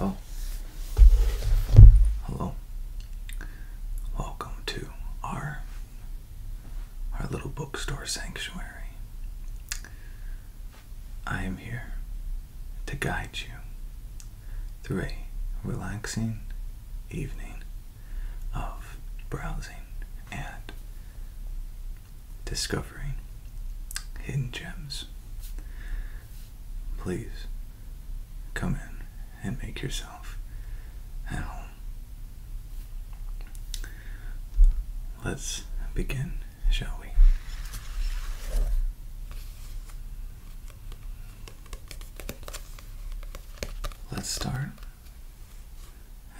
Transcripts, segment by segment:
Oh. Hello. Welcome to our our little bookstore sanctuary. I am here to guide you through a relaxing evening of browsing and discovering hidden gems. Please come in and make yourself at home. Let's begin, shall we? Let's start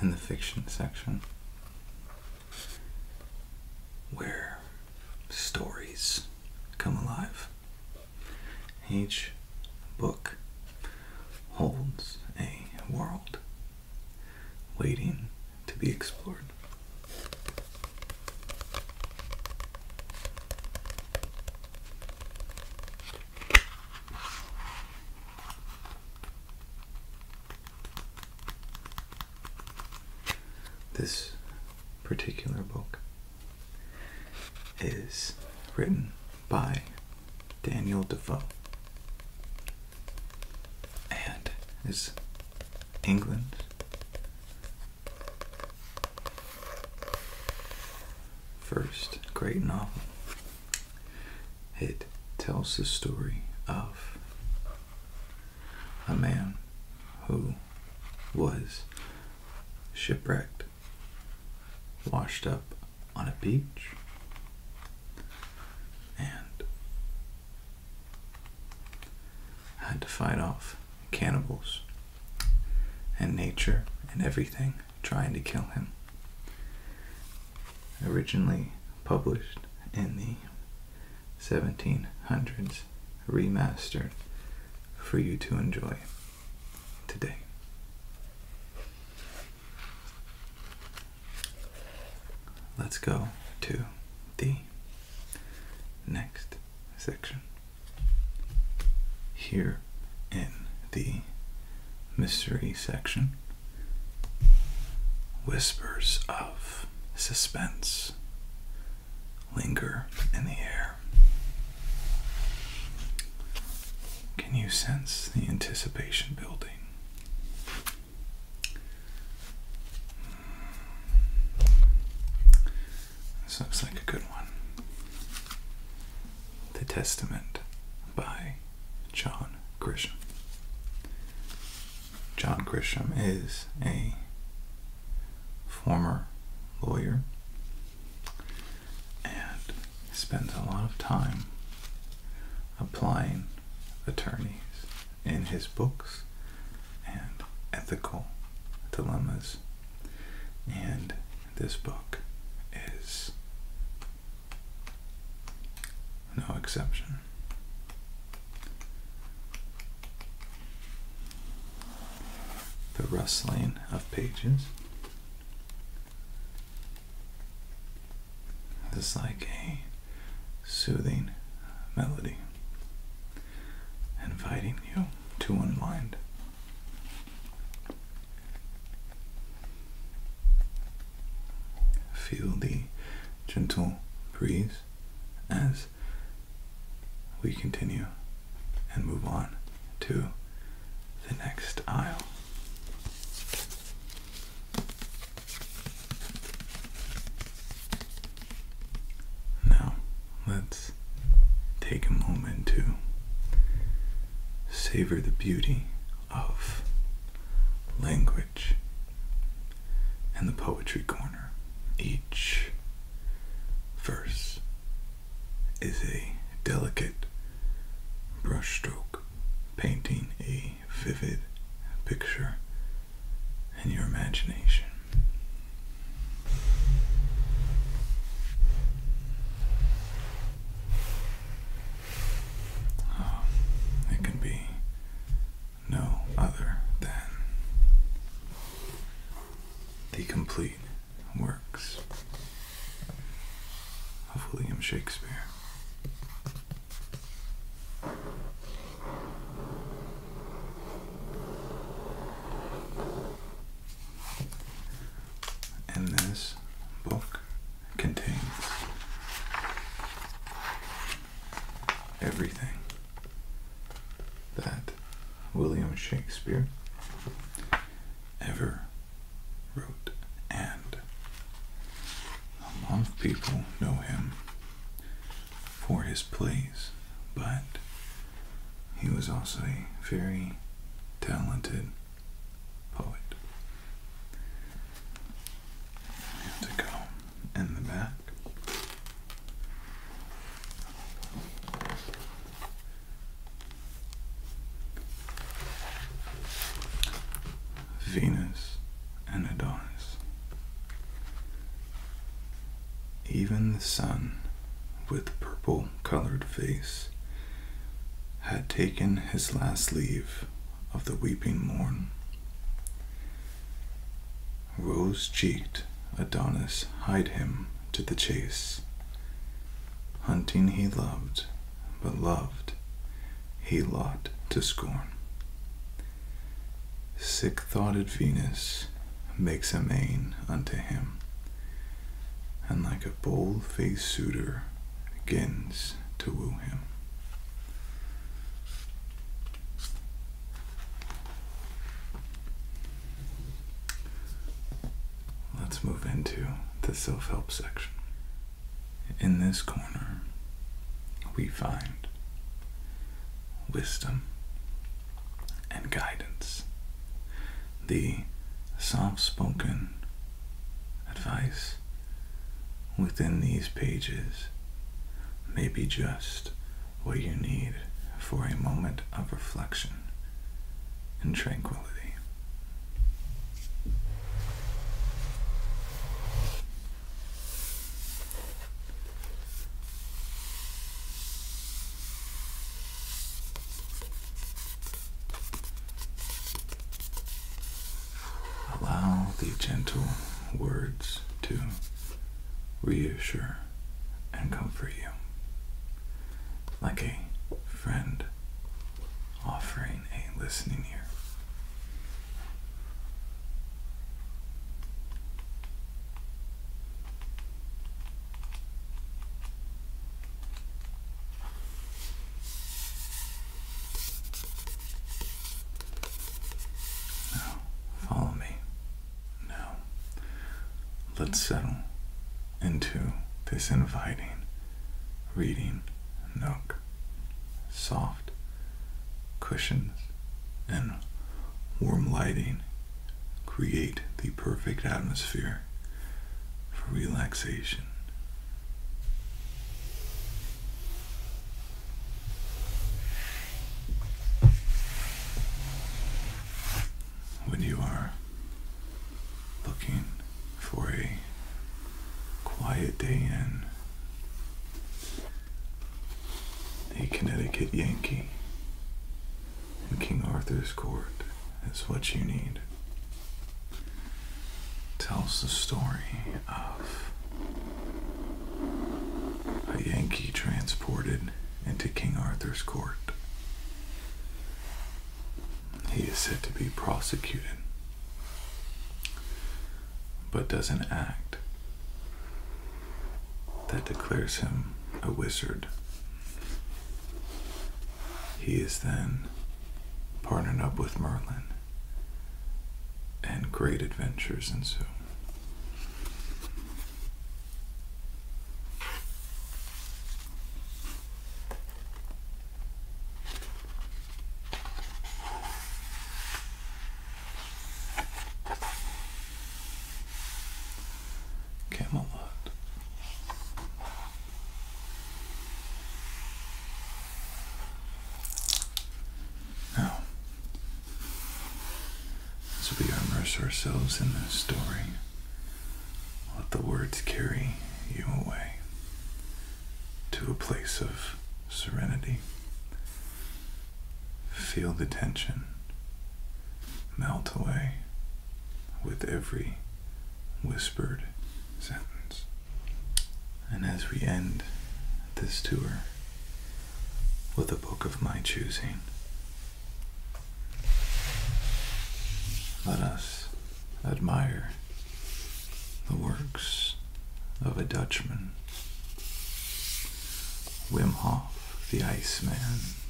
in the fiction section where stories come alive. Each book holds a world waiting to be explored. This particular book is written by Daniel Defoe and is England's first great novel it tells the story of a man who was shipwrecked, washed up on a beach, and had to fight off cannibals and nature and everything trying to kill him. Originally published in the 1700s, remastered for you to enjoy today. Let's go to the next section. Here in the mystery section. Whispers of suspense linger in the air. Can you sense the anticipation building? Hmm. This like a good one. The Testament by John Grisham. John Grisham is a former lawyer and spends a lot of time applying attorneys in his books and ethical dilemmas. And this book is no exception. The rustling of pages. This is like a soothing melody, inviting you to unwind. Feel the gentle breeze as we continue and move on to the next aisle. Now, let's take a moment to savor the beauty of language In the poetry corner. Each verse is a delicate brushstroke painting a vivid picture in your imagination. Um, it can be no other than the complete works of William Shakespeare. And this book contains everything that William Shakespeare ever wrote, and a lot of people know him for his plays, but he was also a very talented poet. to go in the back. Venus and Adonis. Even the sun with purple colored face had taken his last leave of the weeping morn. Rose cheeked Adonis hied him to the chase. Hunting he loved, but loved he lot to scorn. Sick thoughted Venus makes a mane unto him, and like a bold-faced suitor begins to woo him. Let's move into the self help section. In this corner, we find wisdom and guidance the soft spoken advice within these pages may be just what you need for a moment of reflection and tranquility. Allow the gentle words to reassure and comfort you. Like a friend offering a listening ear. Now, follow me. Now, let's settle into this inviting reading nook. Soft cushions and warm lighting create the perfect atmosphere for relaxation. When you are looking for a quiet day in, a Connecticut Yankee in King Arthur's court is what you need. Tells the story of a Yankee transported into King Arthur's court. He is said to be prosecuted, but does not act that declares him a wizard. He is then partnered up with Merlin, and great adventures ensue. Camelot. Now, as we immerse ourselves in this story, let the words carry you away to a place of serenity. Feel the tension melt away with every whispered sentence. And as we end this tour with a book of my choosing, let us admire the works of a Dutchman, Wim Hof, the Iceman.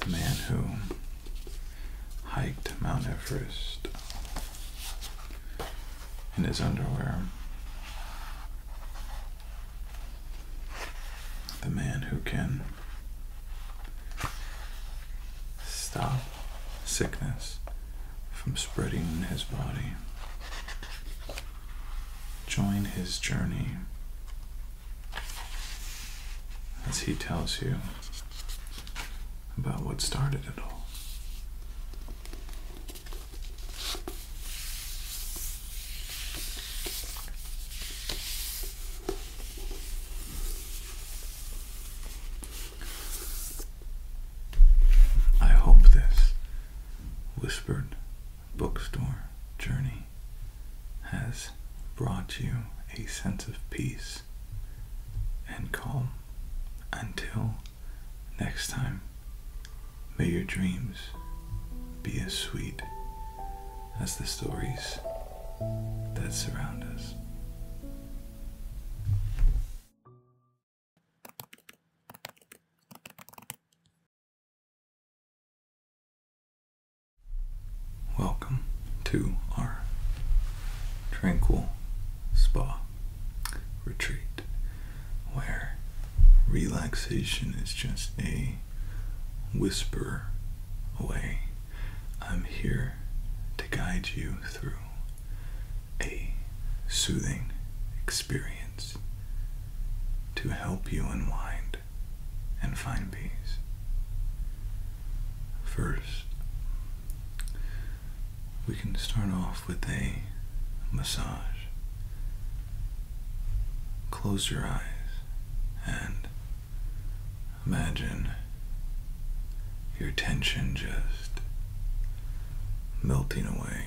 The man who hiked Mount Everest in his underwear. The man who can stop sickness from spreading in his body. Join his journey as he tells you about what started it all. I hope this whispered bookstore journey has brought you a sense of peace and calm. Until next time, may your dreams be as sweet as the stories that surround us. Welcome to our tranquil spa retreat where relaxation is just a whisper away. I'm here to guide you through a soothing experience to help you unwind and find peace. First, we can start off with a massage. Close your eyes and imagine your tension just melting away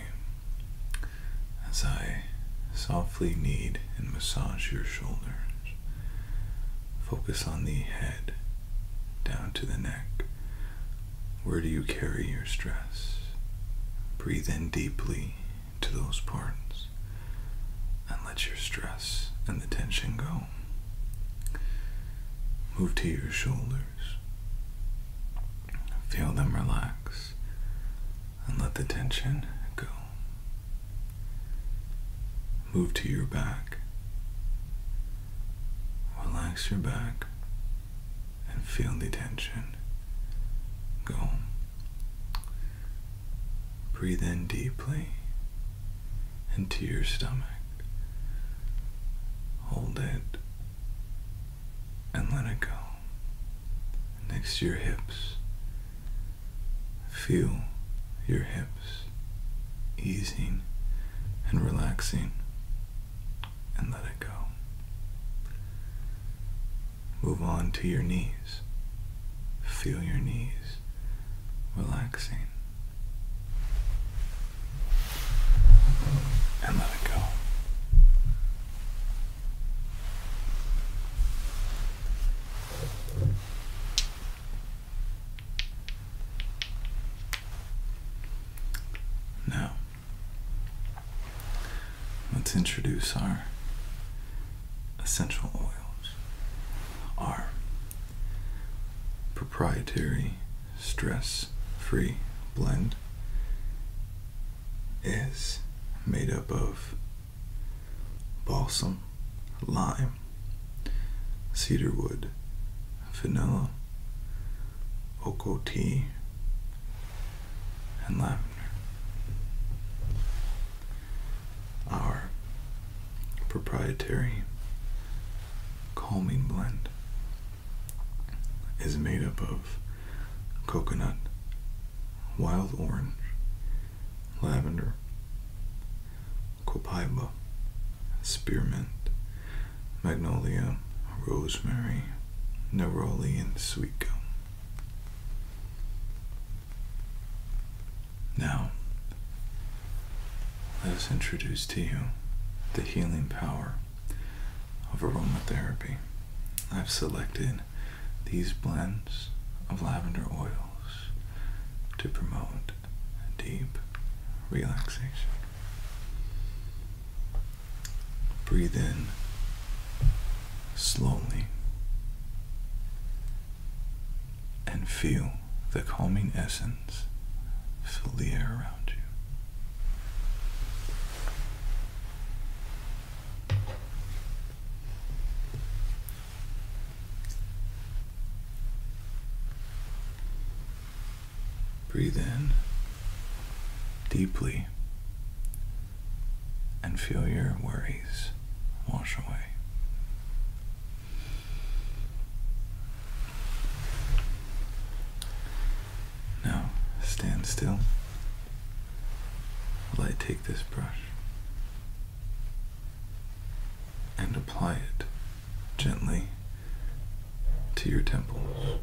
as I softly knead and massage your shoulders. Focus on the head down to the neck. Where do you carry your stress? Breathe in deeply to those parts and let your stress and the tension go. Move to your shoulders. Feel them relax and let the tension go. Move to your back. Relax your back and feel the tension go. Breathe in deeply into your stomach. Hold it and let it go next to your hips. Feel your hips easing and relaxing and let it go. Move on to your knees. Feel your knees relaxing. And let it go. Now, let's introduce our essential oils, our proprietary stress free blend is made up of balsam, lime, cedarwood, vanilla, oco tea, and lavender. Our proprietary calming blend is made up of coconut, wild orange, lavender, copaiba, spearmint, magnolia, rosemary, neroli, and sweet gum. Now, let us introduce to you the healing power of aromatherapy, I've selected these blends of lavender oils to promote deep relaxation. Breathe in slowly and feel the calming essence fill the air around you. Breathe in deeply and feel your worries wash away. Now stand still while I take this brush and apply it gently to your temples.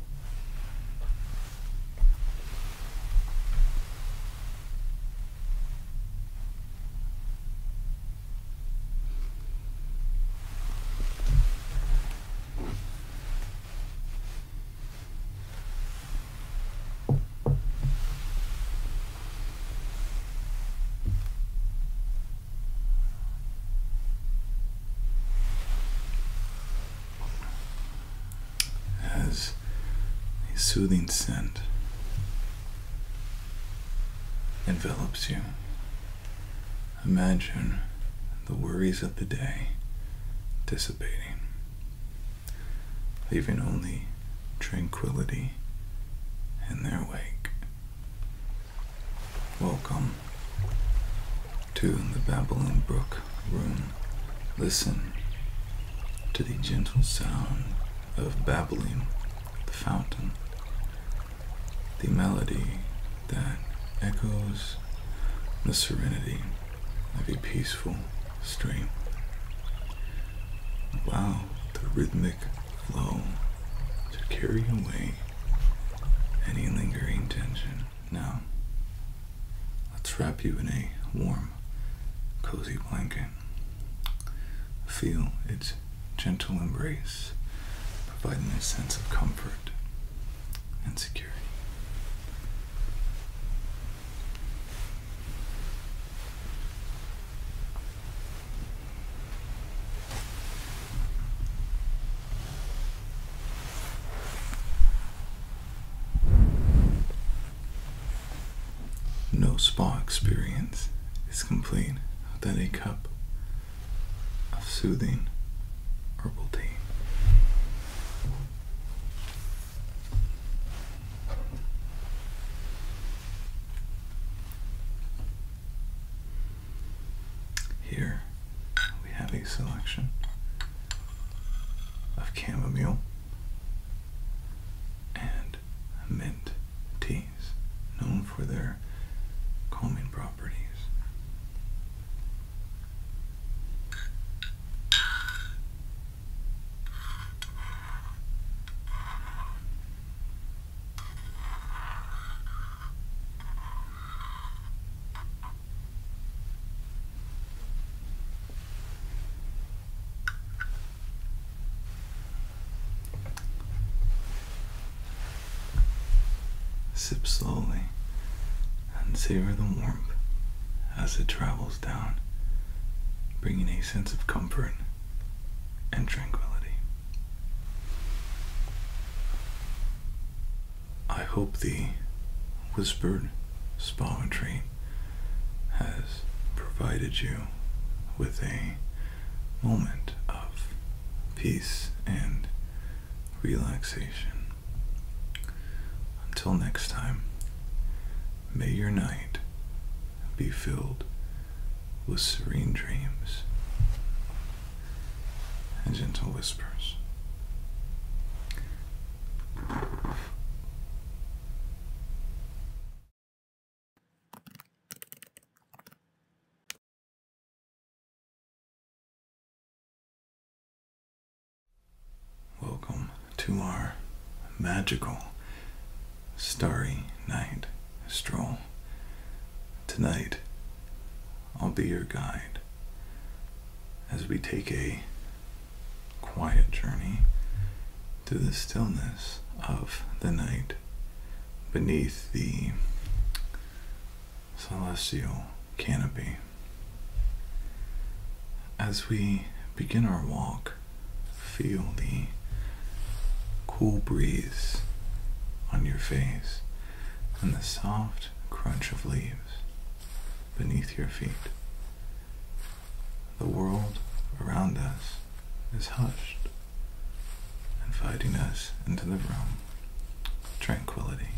As a soothing scent envelops you Imagine the worries of the day dissipating, leaving only tranquility in their wake. Welcome to the Babylon Brook room. Listen to the gentle sound of babbling the fountain the melody that echoes the serenity of a peaceful stream. Allow the rhythmic flow to carry away any lingering tension. Now, let's wrap you in a warm, cozy blanket. Feel its gentle embrace, providing a sense of comfort and security. No spa experience is complete without a cup of soothing herbal tea. Here we have a selection of chamomile and mint tea known for their calming properties. Sip slowly and savor the warmth as it travels down, bringing a sense of comfort and tranquility. I hope the whispered spa retreat has provided you with a moment of peace and relaxation. Until next time, may your night be filled with serene dreams and gentle whispers. Welcome to our magical starry night stroll. Tonight, I'll be your guide as we take a quiet journey to the stillness of the night beneath the celestial canopy. As we begin our walk, feel the cool breeze on your face and the soft crunch of leaves beneath your feet. The world around us is hushed inviting us into the room of tranquility.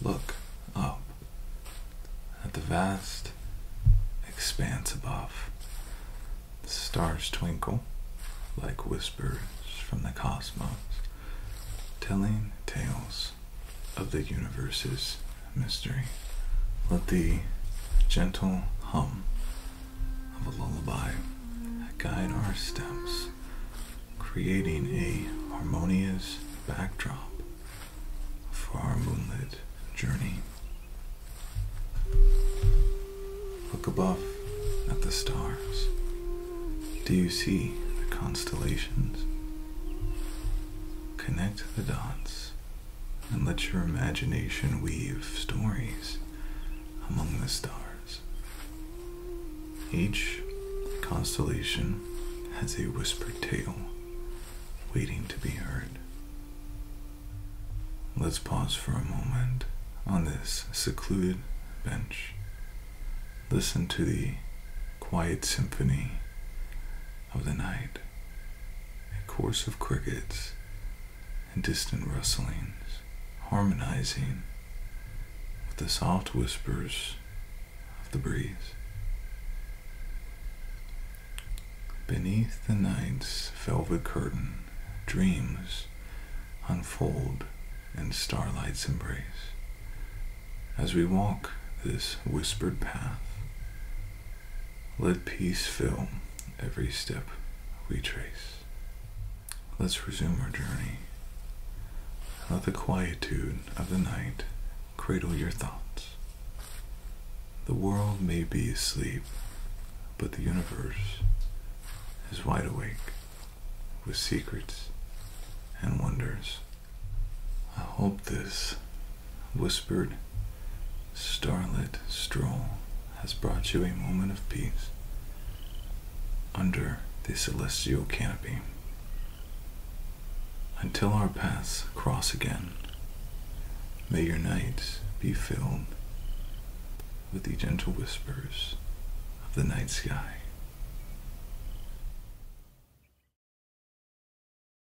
Look up at the vast expanse above. The stars twinkle like whispers from the cosmos, telling tales of the universe's mystery. Let the gentle hum of a lullaby guide our steps, creating a harmonious backdrop for our moonlit journey. Look above at the stars. Do you see the constellations? Connect the dots and let your imagination weave stories among the stars. Each constellation has a whispered tale waiting to be heard. Let's pause for a moment on this secluded bench. Listen to the quiet symphony of the night, a chorus of crickets and distant rustlings harmonizing with the soft whispers of the breeze. Beneath the night's velvet curtain, dreams unfold in starlight's embrace. As we walk this whispered path, let peace fill every step we trace. Let's resume our journey. Let the quietude of the night cradle your thoughts. The world may be asleep, but the universe is wide awake with secrets and wonders. I hope this whispered, starlit stroll has brought you a moment of peace under the celestial canopy. Until our paths cross again, may your nights be filled with the gentle whispers of the night sky.